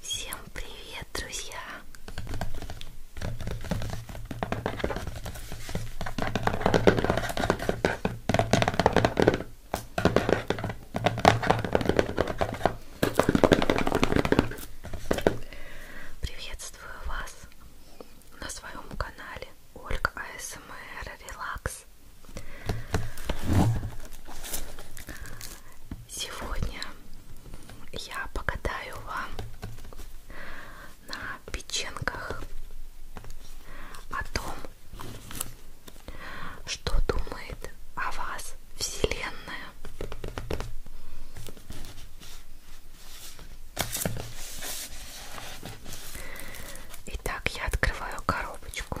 Всем привет, друзья! Приветствую вас на своем канале Ольга АСМР Релакс. Сегодня я покатаю вам на печенках о том, что думает о вас Вселенная. Итак, я открываю коробочку.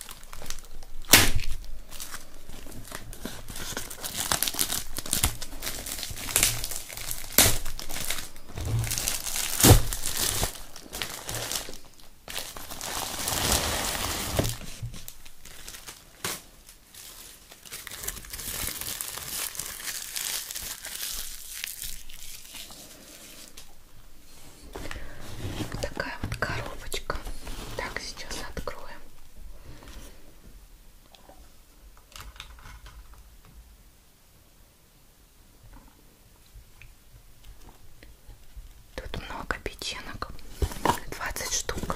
Такая вот коробочка. Так, сейчас откроем. Тут много печенок, 20 штук.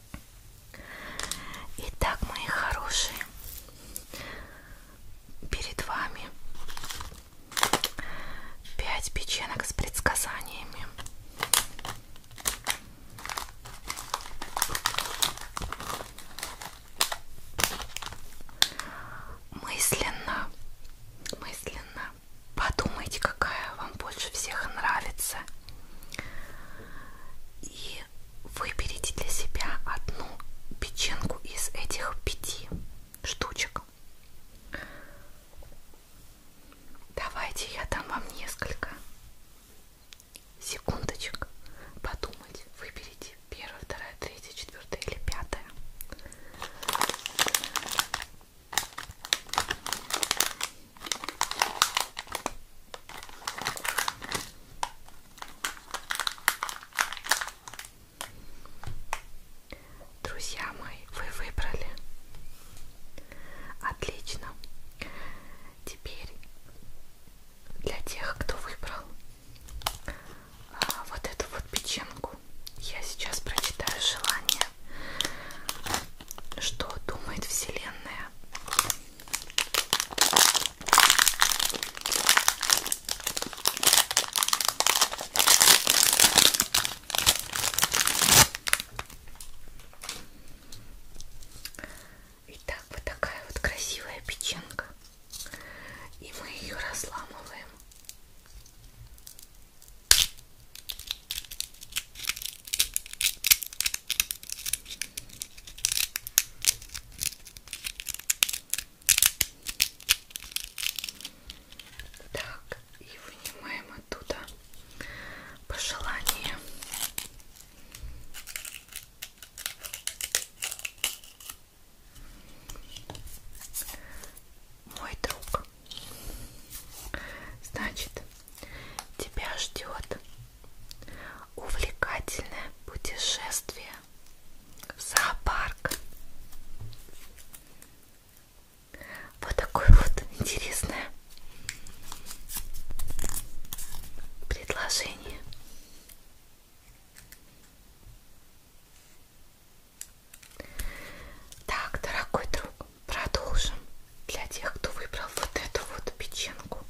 Итак, мои хорошие, перед вами пять печенок с предсказаниями. Мысленно, мысленно подумайте, какая вам больше всех нравится. И выберите для себя одну печенку из этих пяти штучек. Давайте я дам вам несколько секундочек подумать. Выберите первая, вторая, третья, четвертая или пятая. Друзья мои, вы выбрали. Отлично. Теперь для тех, кто выбрал а, вот эту вот печенку, я сейчас прочитаю желание, что думает Вселенная Итак, вот такая вот красивая печенка. И мы ее разламываем. Так, и вынимаем оттуда пожелание. Мой друг. Значит, тебя ждет увлекательное путешествие в зоопарк. Вот такое вот интересное предложение. Так, дорогой друг, продолжим для тех, кто выбрал вот эту вот печенку.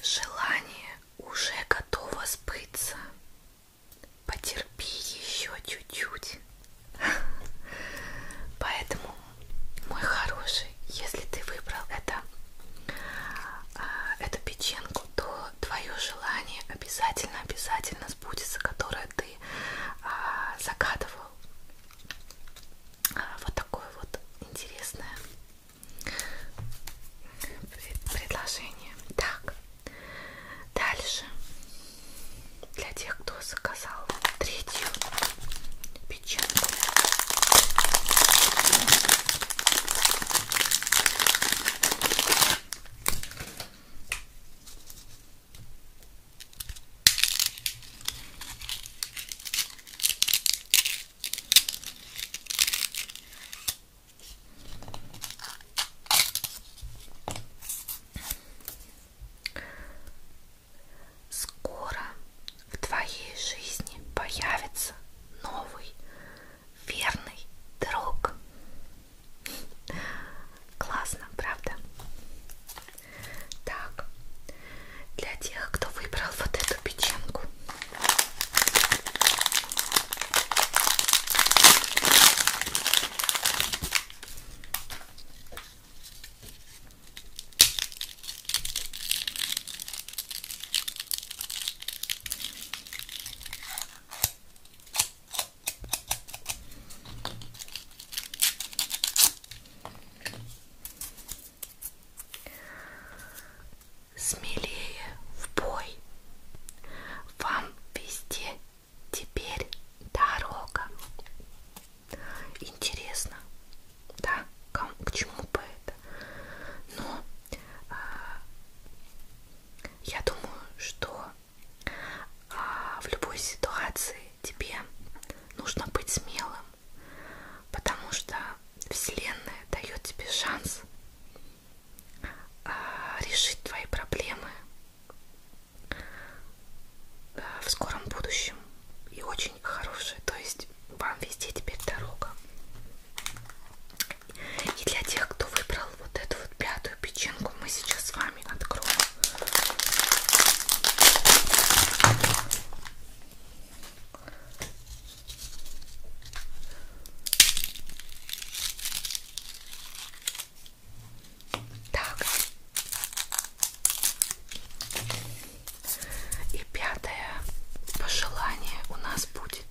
Желание уже готово сбыться. Потерпи еще чуть-чуть. Поэтому, мой хороший, если ты выбрал это, а, эту печенку, то твое желание обязательно-обязательно сбудется, которое ты а, загадывал. А, вот такое вот интересное предложение. Так, дальше для тех, кто заказал третью печенку. Скоро в твоей жизни появится новый верный друг. Классно, правда? Так, для тех, кто выбрал вот эту печенку, Смелее в бой. Вам везде теперь дорога. Интересно, да, к чему бы это? Но э, я думаю, что а, в любой ситуации тебе нужно быть смелым, потому что Вселенная дает тебе шанс а, решить твои проблемы э, в скором будущем и очень хорошие, то есть вам везде теперь дорога. И для тех, кто выбрал вот эту вот пятую печенку, мы сейчас с вами откроем. Так. И пятое пожелание у нас будет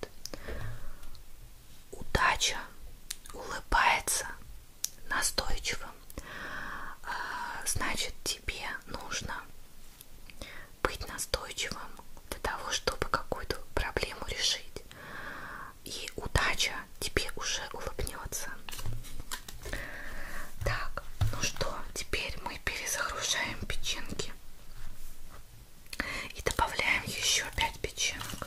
удача улыбается настойчивым, а, значит тебе нужно быть настойчивым для того, чтобы какую-то проблему решить. И удача тебе уже улыбнется. Так, ну что, теперь мы перезагружаем печенки и добавляем еще 5 печенок.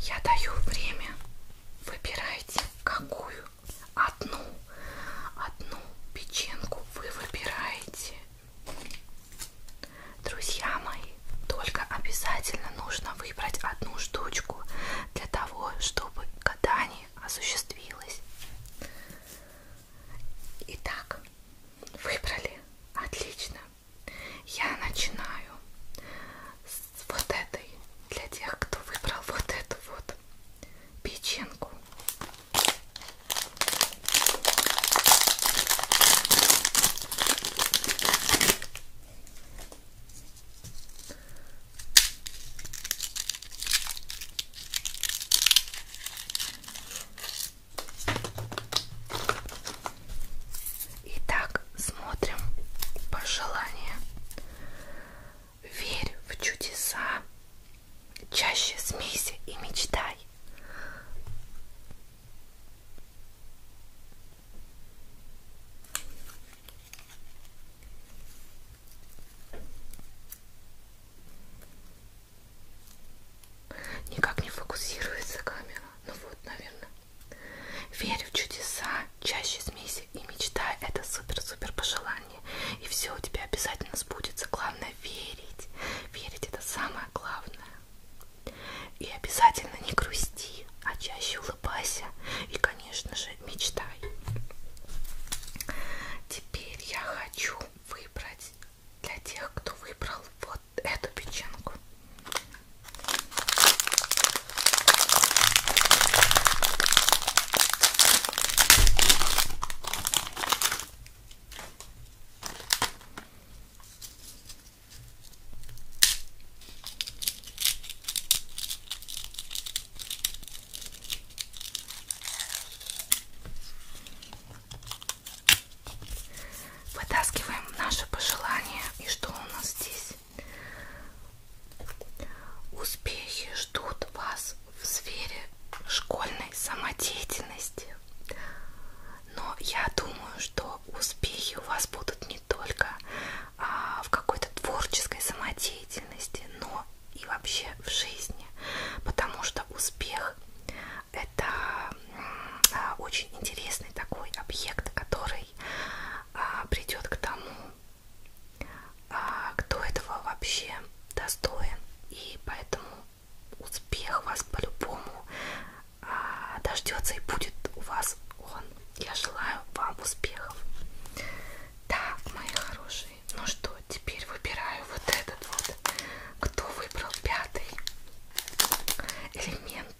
Я даю время. Выбирайте какую. Одну. Одну печенку вы выбираете. Друзья мои, только обязательно нужно выбрать одну штучку для того, чтобы гадание осуществилось. Итак, выбрали. Отлично. Я начинаю с вот этой, для тех, кто выбрал вот эту вот печенку. Итак, смотрим пожелание. Верь в чудеса, чаще смейся и мечтай. Никак не фокусируется камера. Ну вот, наверное. Верь в чудеса, чаще смейся и мечтай. Это супер-супер пожелание. И все у тебя обязательно сбудется. Главное верить. Верить это самое главное. И обязательно не грусти, а чаще улыбайся. И, конечно же, мечтай. Теперь я хочу выбрать для тех, кто выбрал вот вот эту печенку. Вытаскиваем наши пожелания. И что у нас здесь? Успехи ждут вас в сфере школьной самодеятельности. Но я думаю, что успехи у вас будут не только а, в какой-то творческой самодеятельности, но и вообще в жизни. Потому что успех это а, очень интересный такой объект, который каждый а, придет к тому, а, кто этого вообще достоин. И поэтому успех вас по-любому а, дождется и будет у вас он. Я желаю вам успехов. Так, мои хорошие. Ну что, теперь выбираю вот этот вот. Кто выбрал пятый элемент?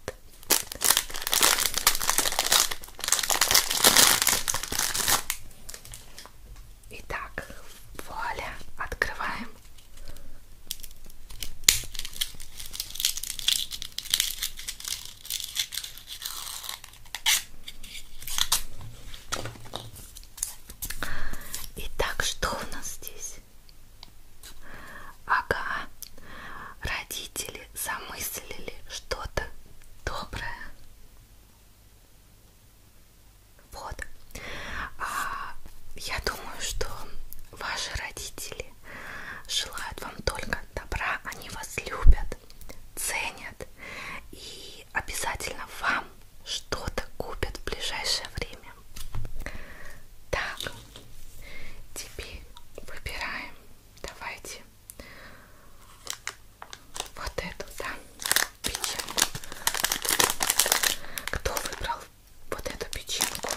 Итак, вуаля, открываем. Итак, что у нас здесь? Ага, родители замыслили что-то доброе. Вот. А, я думаю, что ваши родители желают вам только добра, они вас любят, ценят и обязательно вам что-то купят в ближайшее время. Так, Теперь выбираем, давайте, вот эту, да, печенку. Кто выбрал вот эту печенку?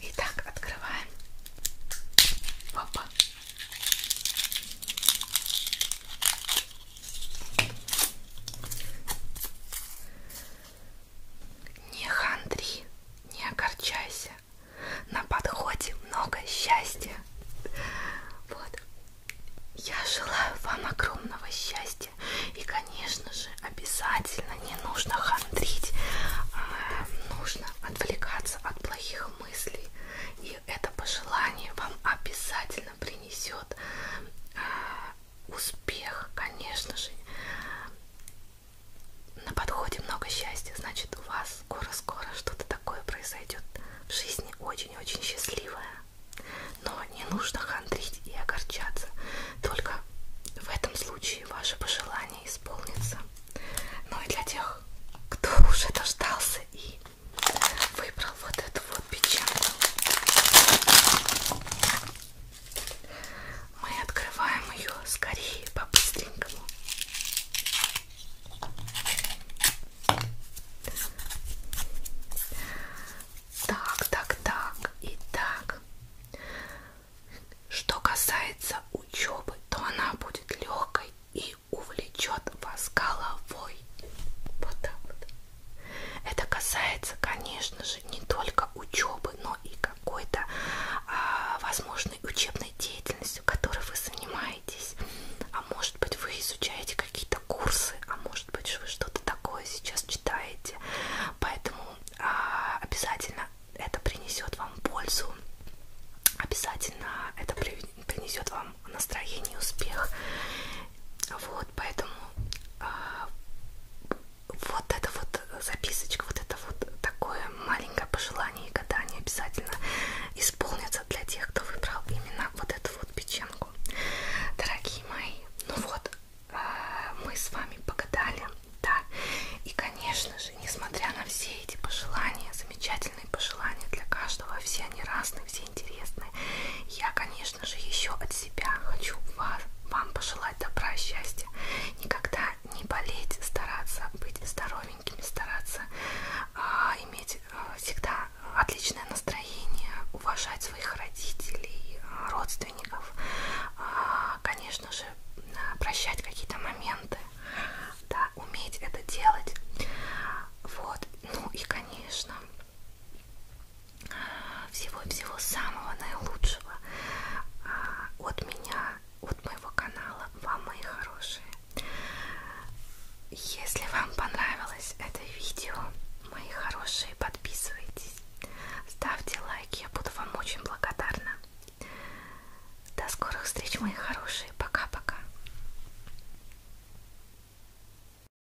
Итак, открываем. Опа. Не хандри, не огорчайся. На подходе много счастья. Вот. Я желаю вам огромного счастья. И, конечно же, обязательно не нужно хандрить. А нужно отвлекаться от плохих мыслей. И это пожелание вам обязательно действительно принесет э, успех, конечно же. На подходе много счастья, значит, у вас скоро-скоро что-то такое произойдет в жизни очень-очень счастливое. Но не нужно хандрить и огорчаться. Только в этом случае ваше пожелание исполнится. Ну и для тех, кто уже дождался и выбрал вот эту вот печенку. Мы открываем ее скорее, по-быстренькому. Так, так, так и так. Что касается учебы, то она будет легкой и увлечет вас головой. Вот так вот. Это касается, конечно же, не только учебы, но и какой-то а, возможной учебной деятельностью, которой вы занимаетесь. А может быть, вы изучаете какие-то курсы, а может быть, вы что-то такое сейчас читаете. Поэтому а, обязательно это принесет вам пользу. Обязательно это принесет вам вам настроение, успех. Вот, поэтому а, вот эта вот записочка, вот это вот такое маленькое пожелание и гадание обязательно исполнится для тех, кто выбрал именно вот эту вот печенку. Дорогие мои, ну вот, а, мы с вами погадали, да, и, конечно же, несмотря на все эти пожелания, замечательные пожелания для каждого, все они разные, все интересные. Я, конечно же, еще от себя хочу вас, вам пожелать добра, счастья, никогда не болеть, стараться быть здоровенькими, стараться а, иметь а, всегда отличное настроение, уважать своих родителей, родственников, а, конечно же, прощать какие-то моменты, да, уметь это делать, вот, ну и, конечно, всего и всего самого наилучшего а, от меня, от моего канала, вам, мои хорошие. Если вам понравилось это видео, мои хорошие, подписывайтесь, ставьте лайки, я буду вам очень благодарна. До скорых встреч, мои хорошие, пока-пока.